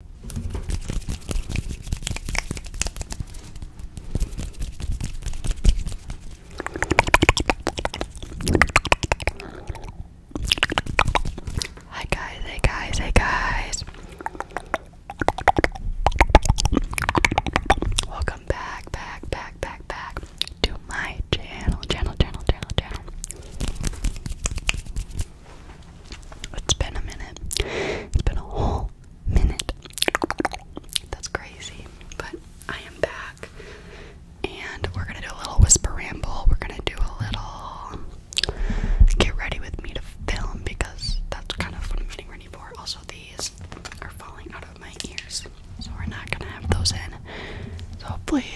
Hey guys, hey guys, hey guys. Welcome back, back, back, back, back to my channel, channel, channel, channel, channel. It's been a minute. It's been a whole minute. That's crazy. But I am back. And we're gonna do a little whisper ramble. We're gonna do a little get ready with me to film because that's kind of what I'm getting ready for. Also, these are falling out of my ears, so we're not gonna have those in. So, hopefully,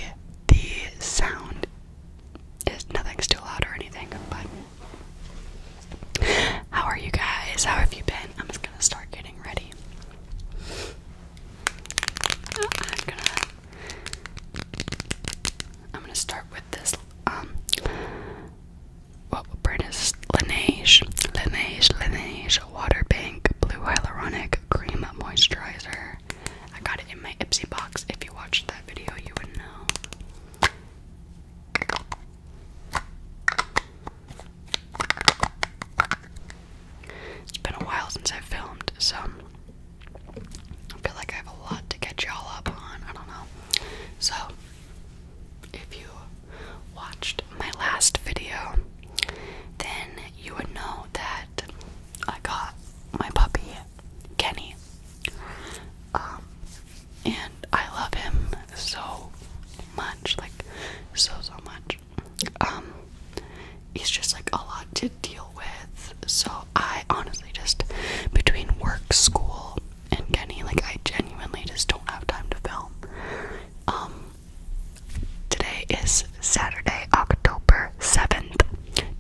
the sound is nothing too loud or anything, but how are you guys? How have you been? I'm just gonna start getting ready. I'm gonna start with this um what brand is Laneige? Laneige Laneige Water Pink Blue Hyaluronic Cream Moisturizer. I got it in my Ipsy box. If you watched that video you would know. It's been a while since i filmed, so I feel like I have a lot to catch y'all up on. I don't know. So, if you watched my last video, then you would know that I got my puppy Kenny. Um, and I love him so much, like so so much. Um, he's just like a lot to deal with. So I honestly just between work, school, and Kenny, like I genuinely just don't have time to film. Um, today is Saturday, October seventh.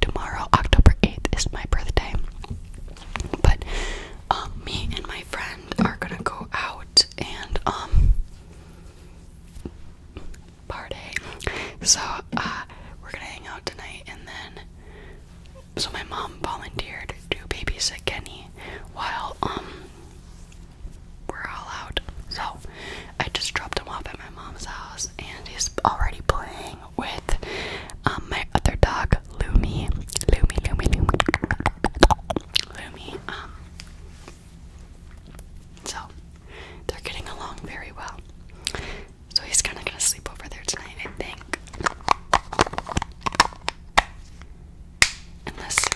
Tomorrow, October eighth, is my birthday. But um, me and my friend are gonna go out and um, party. So uh, we're gonna hang out tonight, and then so my mom volunteered to babysit Kenny while um, we're all out. So I just dropped him off at my mom's house, and he's already playing with um, my other dog, Lumi. Lumi, Lumi, Lumi. Lumi. Um, so, they're getting along very well. So, he's kind of going to sleep over there tonight, I think. Unless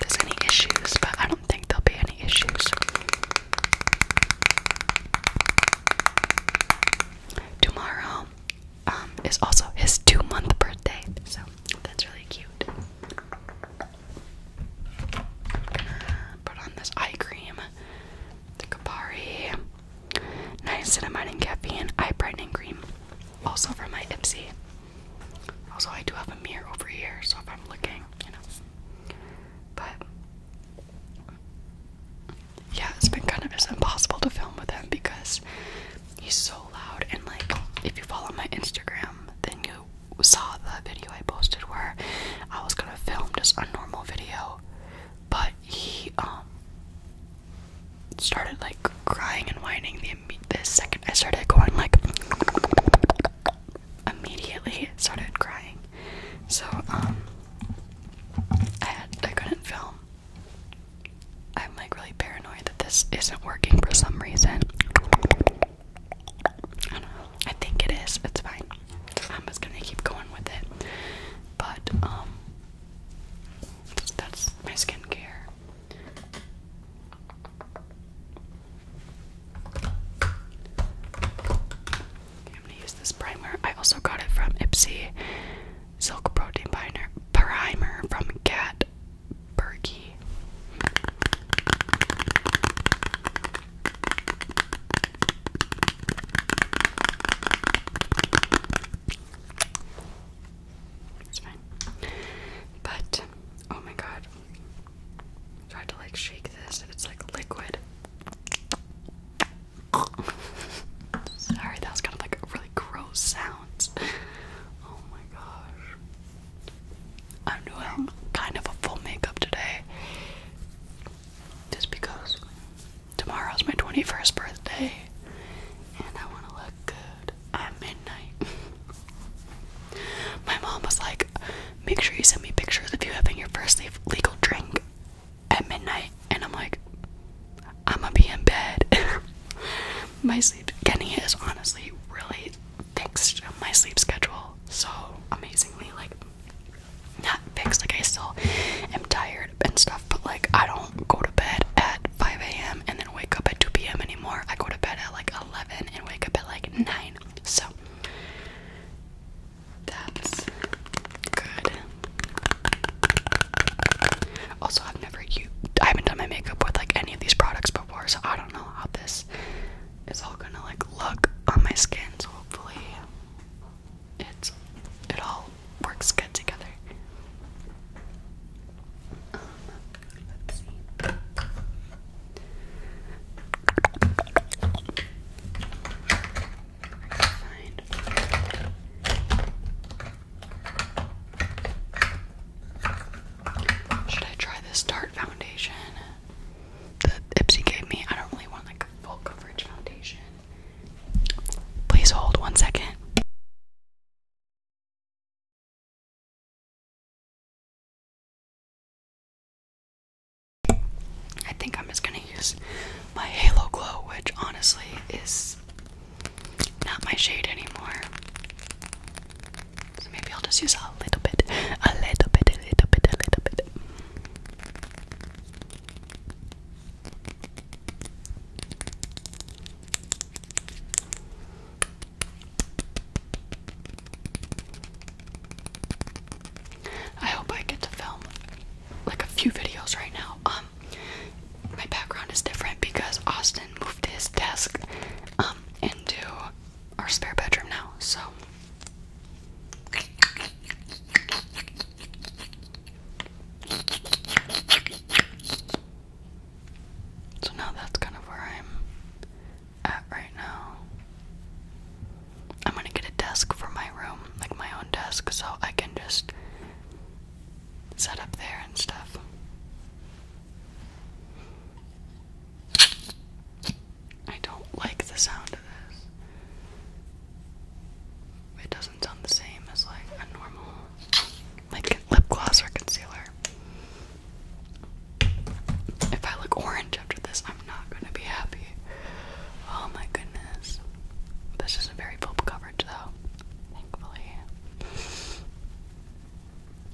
there's any issues, but I don't think there'll be any issues. Tomorrow, um, is also his two month birthday, so that's really cute. put on this eye cream, the Kapari Niacinamide and Caffeine Eye Brightening Cream, also from my Ipsy. Also, I do have a mirror over here, so if I'm looking, you know. But yeah, it's been kind of just impossible to film with him because he's so loud. And like, if you follow my Instagram, then you saw the video I posted where I was gonna film just a normal video, but he um started like crying and whining the, the second I started going like immediately started crying. So um, I I couldn't film. I'm like really paranoid that this isn't working for some reason. I don't know. I think it is. It's fine. I'm just gonna keep going with it. But um that's my skincare. Okay, I'm gonna use this primer. I also got it from Ipsy silk protein binder primer from Kat Perky. It's fine. But oh my god. tried to like shake this and it's like liquid. Sorry, that was kind of like really gross sound. Oh my gosh. I'm doing kind of a full makeup today. Just because tomorrow's my 21st birthday and I want to look good at midnight. my mom was like, make sure you send me pictures of you having your first legal drink at midnight and I'm like, I'm gonna be in bed. my sleep getting is honestly really fixed my sleep schedule so amazingly like not fixed like I still am tired and stuff but like I don't go to bed at 5 a.m. and then wake up at 2 p.m. anymore. I go to bed at like 11 and wake up at like 9. So that's good. Also, I've never I haven't done my makeup with like any of these products before, so I don't know how this is all gonna like look on my skin. So hopefully, it's it all works good together. Um, should I try this Tarte foundation that Ipsy gave me? I don't really want like a full coverage foundation. Please hold one second. I think I'm just gonna use my Halo Glow, which honestly is not my shade anymore. So maybe I'll just use a little bit, a little bit, a little bit, a little bit. I hope I get to film like a few videos right now. Um my background is different because Austin moved his desk um, into our spare bedroom now, so so now that's kind of where I'm at right now. I'm gonna get a desk for my room, like my own desk, so I can just set up there and stuff. I don't like the sound of this. It doesn't sound the same as like a normal like lip gloss or concealer. If I look orange after this, I'm not gonna be happy. Oh my goodness. This is a very full coverage though.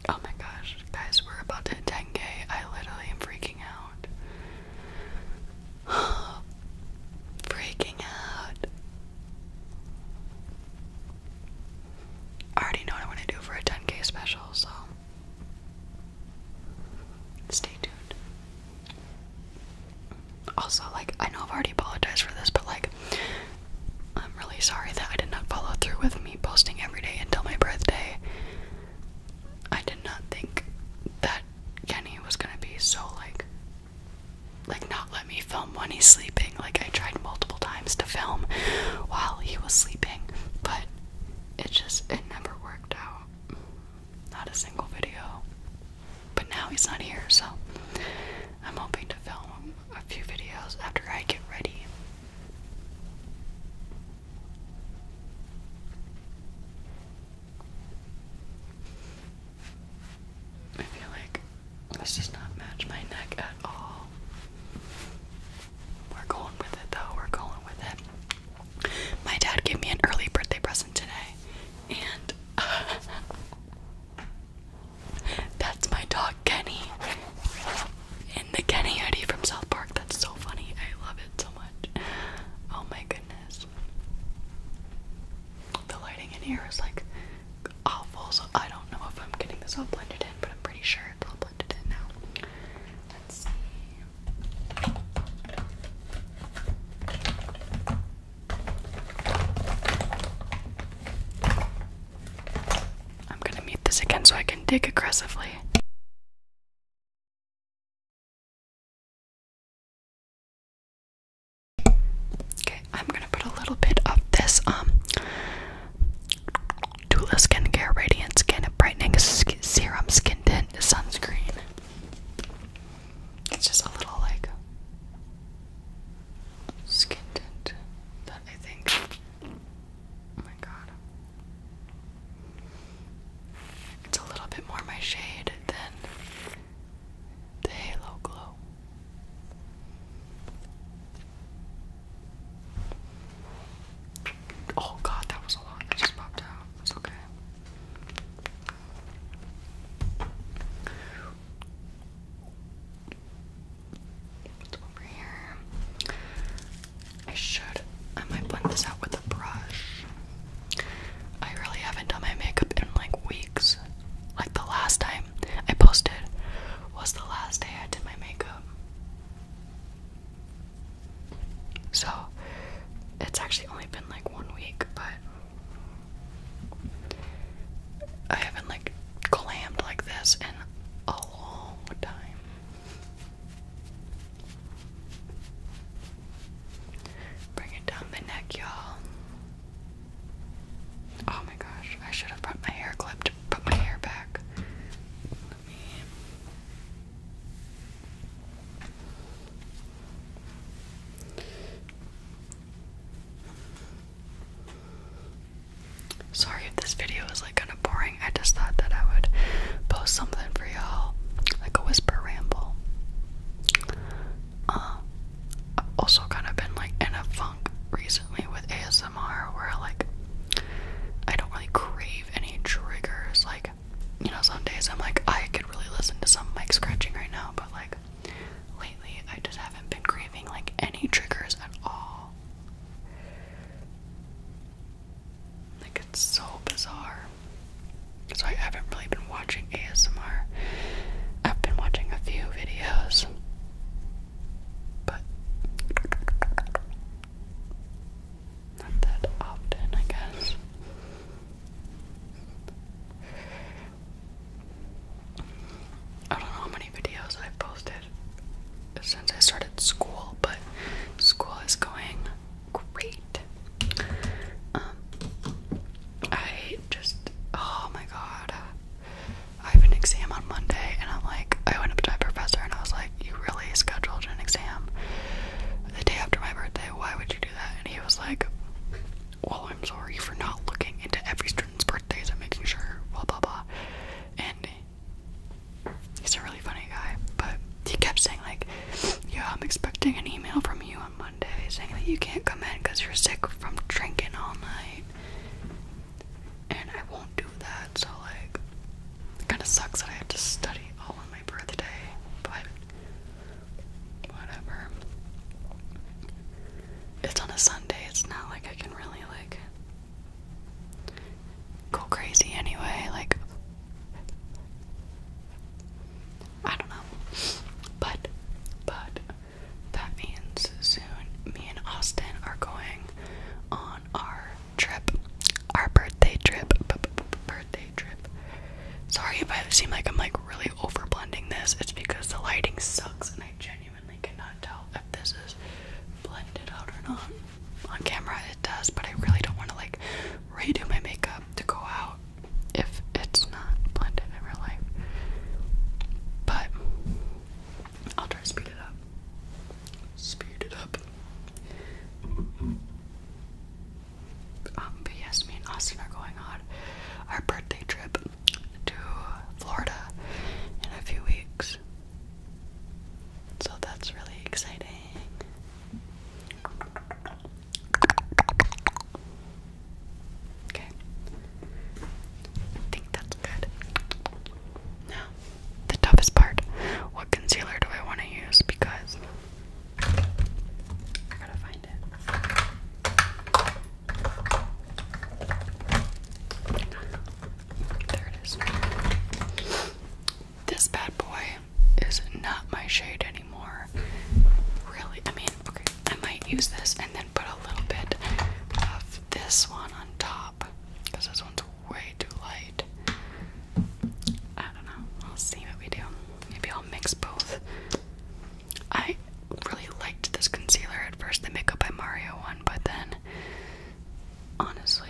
Oh my gosh, guys, we're about to hit 10k. I literally am freaking out. freaking out. I already know what I want to do for a 10k special, so stay tuned also like I know I've already apologized for this, but like I'm really sorry that I did not follow through with me posting every day until my birthday. I did not think that Kenny was gonna be so like like not let me film when he's sleeping. Like I tried multiple times to film while he was sleeping, but it just it never worked out. Not a single video. But now he's not here, so I'm hoping to film a few videos after I get ready. I feel like this does not match my neck at all. We're going with it though, we're going with it. My dad gave me an early birthday present today, and That's my dog Kenny in the Kenny Eddie from South Park. That's so funny. I love it so much. Oh my goodness. The lighting in here is like awful, so I don't know if I'm getting this all blended in, but I'm pretty sure it's all blended in now. Let's see. I'm gonna mute this again so I can dig aggressively. Okay, I'm gonna put a little bit of this um Tula Skincare Radiant Skin Brightening Serum Skin Sunscreen. It's just a little like skin tint that I think. Oh my god. It's a little bit more my shade than the Halo Glow. Oh god, that was a lot that just popped out. It's okay. What's over here? I should. I might blend this out with a brush. I really haven't done my makeup in like weeks. Like the last time I posted was the last day I did my makeup. So it's actually only been like one week, but I haven't like glammed like this in a long time. Bring it down the neck, y'all. Oh my gosh, I should have brought my hair clip to put my hair back. Sorry if this video is like kind of boring. I just thought that I would post something for y'all, like a whisper ramble. Uh, I've also kind of been like in a funk recently with ASMR, where like I don't really crave any triggers. Like, you know, some days I'm like I could really listen to some mic scratching right now, but like lately I just haven't been craving like any triggers at all. Like it's so bizarre. So I haven't really been watching ASMR. I've been watching a few videos. But not that often, I guess. I don't know how many videos I've posted since I started school, but school is going great. Um, I just, oh my god. I have an exam on Monday, and I'm like, I went up to my professor and I was like, You really scheduled an exam the day after my birthday? Why would you do that? And he was like, Well, I'm sorry for not looking into every str children's birthdays and making sure blah blah blah. And he's a really funny guy, but he kept saying like, "Yeah, I'm expecting an email from you on Monday saying that you can't come in because you're sick from drinking all night." And I won't do that, so like, it kind of sucks that I have to study all on my birthday, but whatever. It's on a Sunday, it's not like I can really like go crazy anyway, like I don't know. But but that means soon me and Austin are going on our trip. Our birthday trip. birthday trip. Sorry if I seem like I'm like really over blending this. It's because the lighting sucks and I genuinely cannot tell if this is blended out or not. On camera it does, but I really don't want to like redo my makeup to go out if it's not blended in real life. But I'll try to speed it up. Speed it up. Um, yes, me and Austin are going on our birthday trip to Florida in a few weeks. So that's really exciting. Okay. I think that's good. Now, the toughest part. What concealer do I want to use? Because I gotta find it. This bad boy is not my shade anymore. Really, I mean, okay, I might use this and then put a little bit of this one on top because this one's way too light. I don't know. I'll see what we do. Maybe I'll mix both. I really liked this concealer at first, the Makeup by Mario one, but then honestly,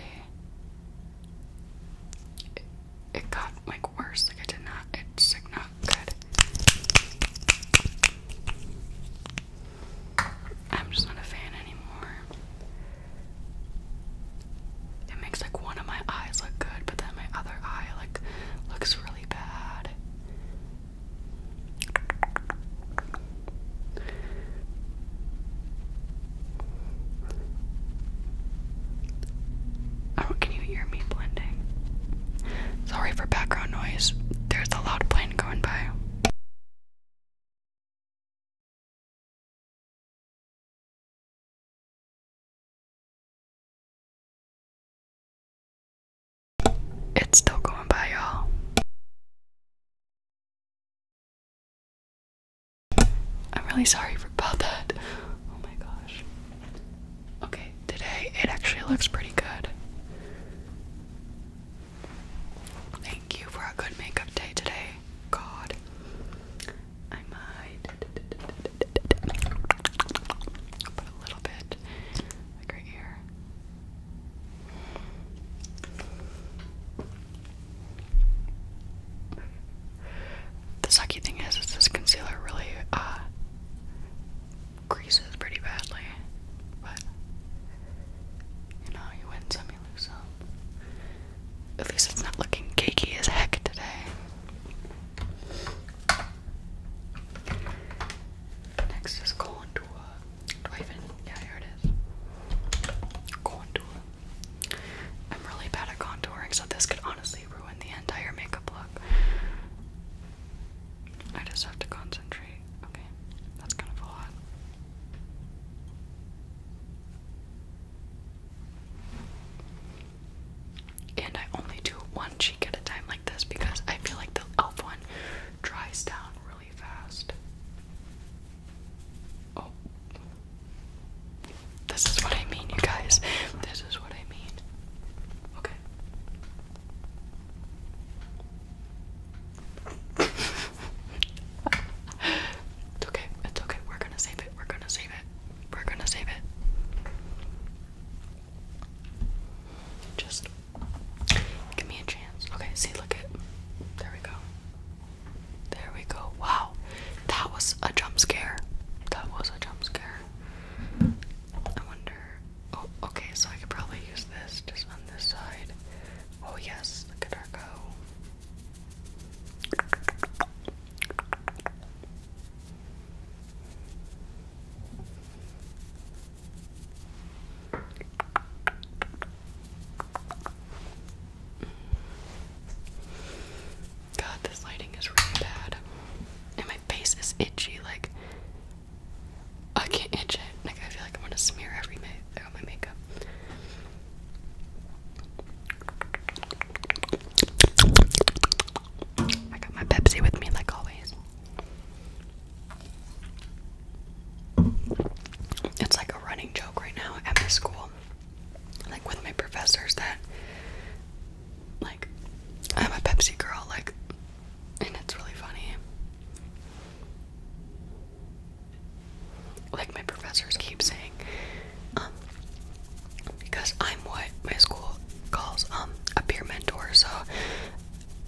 it, got like worse. Like, I did not, it's like not good. I'm just not a fan anymore. It makes like one of my eyes look good, but then my other eye like looks really bad. Oh, can you hear me blending? Sorry for background noise. There's a loud plane going by. It's still going by, y'all. I'm really sorry about that. Oh my gosh. Okay, today it actually looks pretty good. Thank you for a good makeup day today. God. I might put a little bit right here. The sucky thing is, this concealer really uh, pretty badly, but you know, you win some, you lose some. At least it's not looking cakey as heck today. Next is contour. Do I Yeah, here it is. Contour. I'm really bad at contouring, so this could honestly ruin the entire makeup look. I just have to concentrate. Okay, that's kind of a lot. And I only do one cheek at a time like this because I feel like the elf one dries down really fast. Oh. This is what I mean, you guys. This is what I mean. Okay. it's okay. It's okay. We're gonna save it. We're gonna save it. We're gonna save it. Just Give me a chance. Okay, see, look at. There we go. There we go. Wow. That was a jump scare. That was a jump scare. I wonder. Oh, okay, so I could probably use this just on this side. Oh, yes, look at her go. God, this lighting is really bad. And my face is itchy, like I can't itch it. Like I feel like I'm to smear every ma all oh, my makeup. I got my Pepsi with me like always. It's like a running joke right now at my school, like with my professors, that like I'm a Pepsi girl, like, and it's really funny. Like my professors keep saying, um, because I'm what my school calls um a peer mentor, so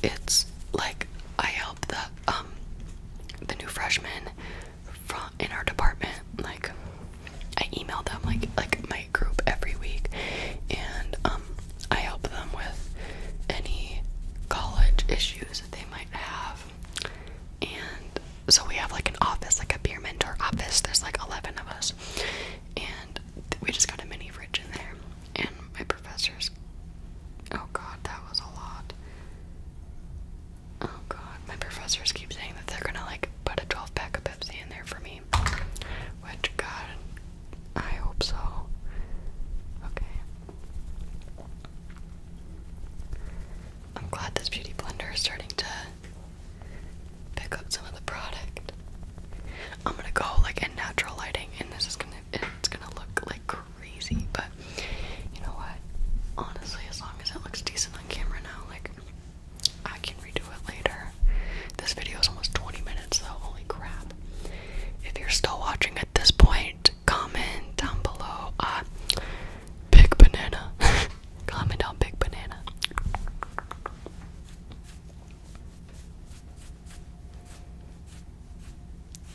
it's like I help the um the new freshmen in our department. Like, I email them like like my group every week, and um, I help them with any college issues that they might have. And so we have like an office, like a peer mentor office. There's like eleven of us, and we just got a mini fridge in there. And my professors. Oh god, that was a lot. Oh god, my professors keep saying that they're gonna like put a 12 pack of Pepsi in there for me. Which, god, I hope so. Okay. I'm glad this beauty blender is starting to pick up some of the product. I'm gonna go like in natural lighting and this is gonna it's gonna look like crazy, but you know what? Honestly, as long as it looks decent on camera now, like I can redo it later. This video is almost 20 minutes, though. Holy crap! If you're still watching at this point, comment down below. Uh, big banana. comment on big banana.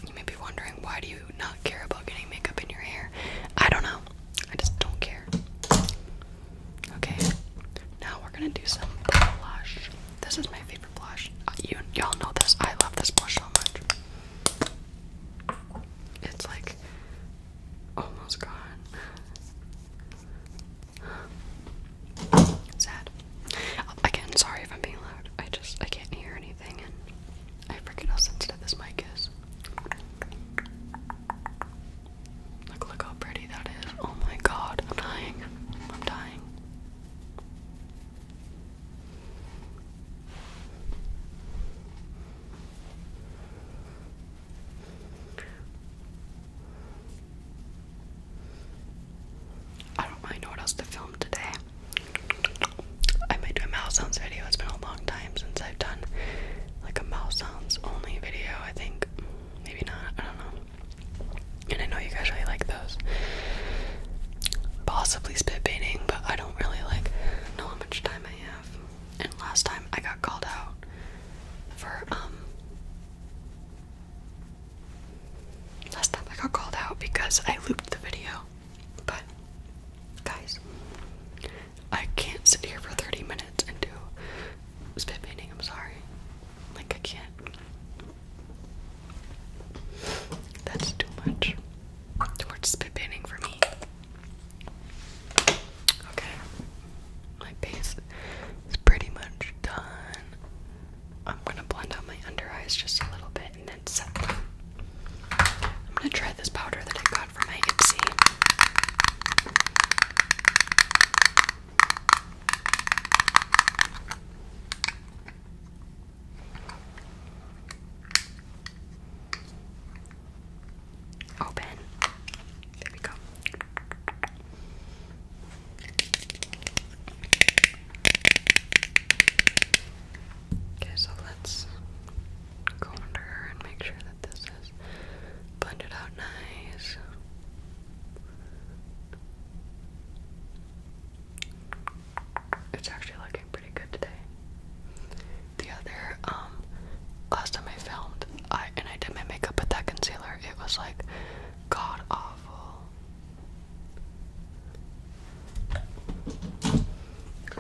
You may be wondering why do you not care about getting makeup in your hair? I don't know. I just don't care. Okay. Now we're gonna do some blush. This is my favorite blush. Uh, you y'all know this. I love this blush so much. It's like almost gone. Sad. Again, sorry if I'm being loud. I just I can't hear anything I forget how sensitive this mic is. Look, look how pretty that is. Oh my god, I'm dying. I'm dying. I don't really know what else to film today. I might do a mouse sounds video. It's been a long time since I've done like a mouse sounds only video. I think maybe not. I don't know. And I know you guys really like those. Possibly spit painting, but I don't really like know how much time I have. And last time I got called out for um. Last time I got called out because I looped the video. But, guys, I can't sit here for 30 minutes and do spit painting. I'm sorry. Like, I can't. That's too much. Too much spit painting for me. Okay. My base is pretty much done. I'm gonna blend out my under eyes just a little bit and then set I'm gonna try this powder that I got from my Ipsy. Open. There we go. Okay, so let's go under her and make sure that this is blended out nice. It's actually looking pretty good today. The other, um, last time I filmed, I and I did my makeup with that concealer. It was like god awful.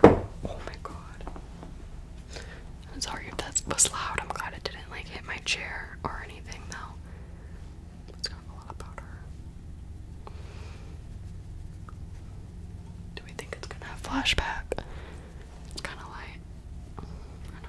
Oh my god. I'm sorry if that was loud. I'm glad it didn't like hit my chair or anything though. It's got a lot of powder. Do we think it's gonna have flashback? It's kinda light. I don't know.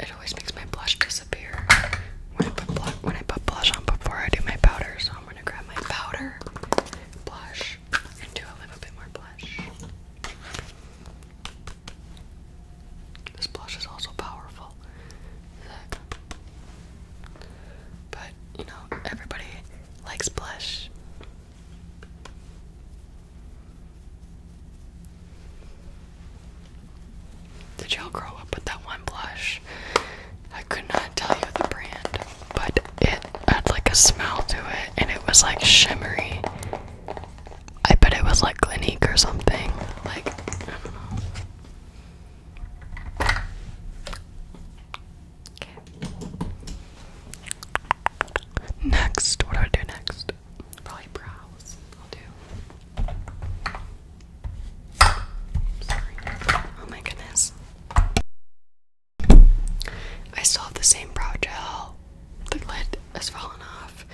it always makes my blush disappear when I put blush on before I do my powder, so I'm gonna grab my powder, blush, and do a little bit more blush. This blush is also powerful. But, you know, everybody likes blush. Did y'all grow up with that one blush? I could not tell you the brand, but it had like a smell to it and it was like shimmery. I bet it was like Clinique or something. Like, I don't know. Next, what do I do next? Probably brows. I'll do. Oh my goodness. I still have the same brow gel. The lid has fallen off.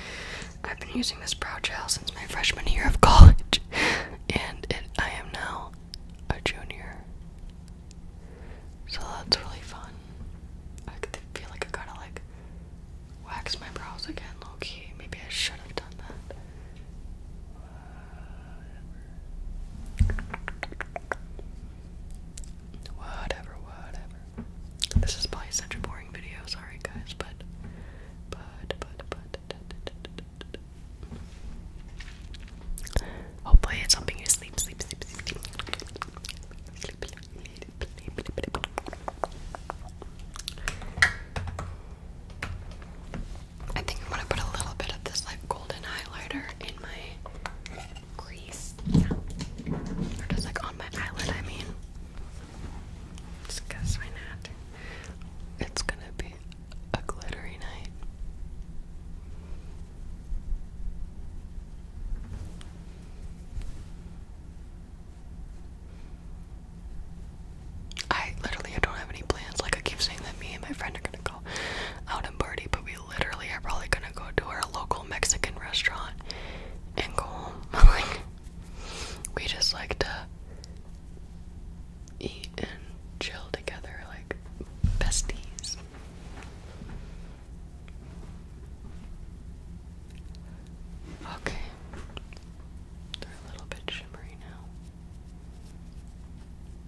I've been using this brow gel since my freshman year of college and it, I am now a junior. So that's really fun. I feel like I gotta like wax my brows again, low Maybe I should have done that. Whatever, whatever. This is probably such a boring video, sorry guys, but but but but Hopefully, it's helping you sleep, sleep, sleep, sleep, sleep, sleep, sleep, sleep. I think I'm gonna put a little bit of this like golden highlighter in my crease, yeah. or just like on my eyelid. I mean, just cause why not? It's gonna be glittery, a glittery night. I literally I don't have any plans. Like I keep saying that me and my friend are gonna go out and party, but we literally are probably gonna go to our local Mexican restaurant and go we just like to eat and chill together like besties. Okay. They're a little bit shimmery now.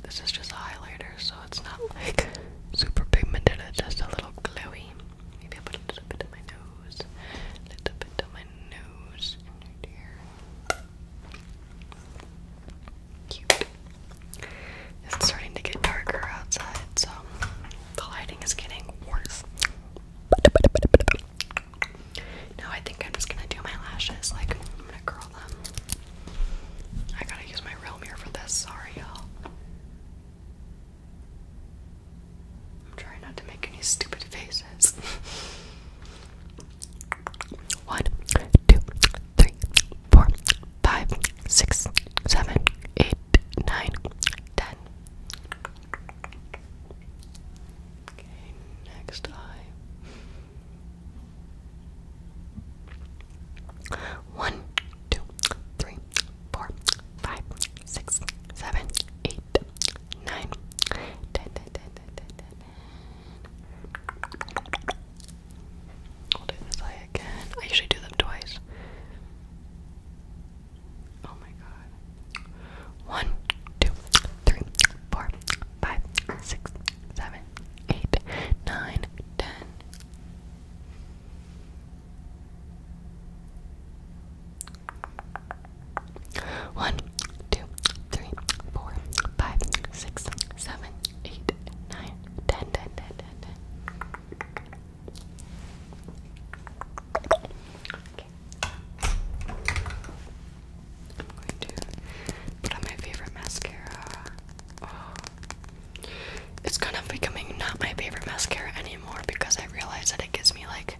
This is just highlighter, so it's not like super pigmented, just a little glowy. Maybe i put a little bit of my nose, little bit of my nose, here. It's starting to get darker outside, so the lighting is getting worse. No, I think I'm just gonna do my lashes. Like, I'm gonna curl them. I gotta use my real mirror for this. Sorry, y'all. I'm trying not to make any stupid faces. One, two, three, four, five, six, seven, eight, nine, ten. Okay, next eye. One, two, three, four, five, six, seven, eight, nine, ten, ten, ten, ten, ten, ten. Holding this eye again. I usually do them twice. Oh my god. One, two, three, four, five, six, seven, eight, nine, ten. One, two, three, four, five, six, seven, eight, nine, ten, ten, ten, ten, ten. I'm going to put on my favorite mascara. Oh. It's kind of becoming not my favorite mascara anymore because I realize that it gives me like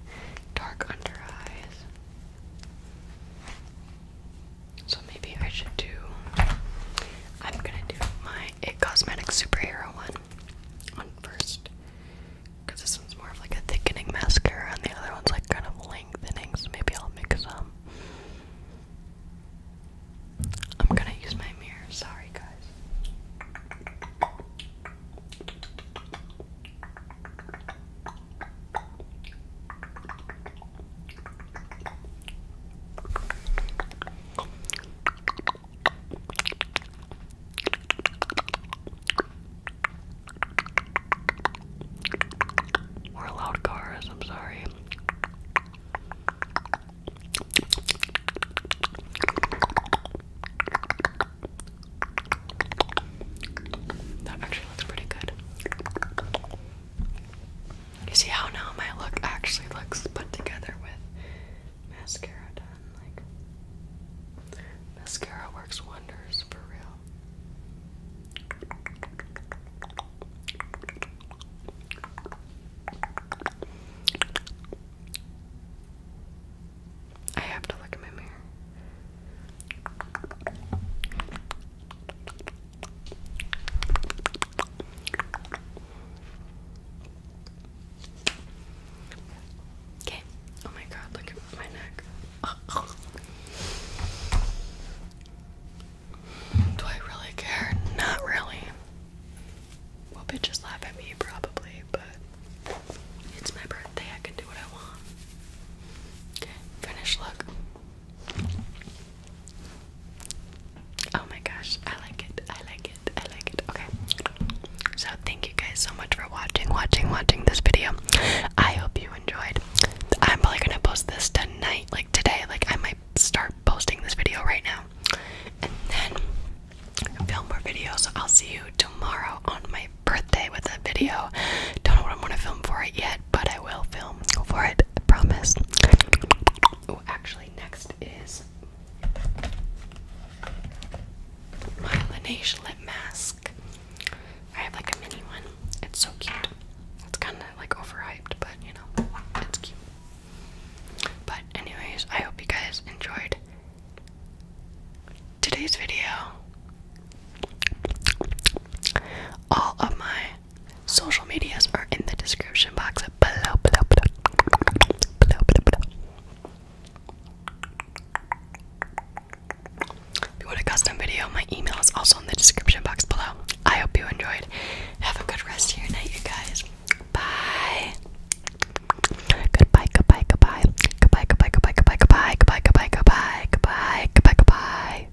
dark under eyes. So maybe I should do. I'm gonna do my It Cosmetics Superhero one on first. Because this one's more of like a thickening mascara and the other one's like kind of lengthening, so maybe I'll mix some. I'm gonna use my mirror, sorry guys. We're More loud cars, I'm sorry. That actually looks pretty good. You see how now my look actually looks put together with mascara done. Like mascara works wonders for real. I have to look in my mirror. Okay. Oh my god, look at my neck. Do I really care? Not really. Well, bitches laugh at me probably, but it's my birthday. I can do what I want. Okay, finish look. Oh my gosh, I like it. I like it. I like it. Okay. So, thank you guys so much for watching, watching, watching this video. I hope you enjoyed. I'm probably going to post this tonight, like today. Like, I might start posting this video right now. And then film more videos. I'll see you tomorrow on my birthday with a video. Don't know what I'm going to film for it yet but I will film for it, promise. Oh, actually, next is my Laneige lip mask. I have like a mini one. It's so cute. It's kind of like overhyped, but you know, it's cute. But, anyways, I hope you guys enjoyed today's video. All of my Social medias are in the description box below, below, below, below, below, below. If you want a custom video, my email is also in the description box below. I hope you enjoyed. Have a good rest of your night, you guys. Bye. Goodbye, goodbye, goodbye. Goodbye, goodbye, goodbye, goodbye, goodbye, goodbye, goodbye, goodbye, goodbye, goodbye, goodbye.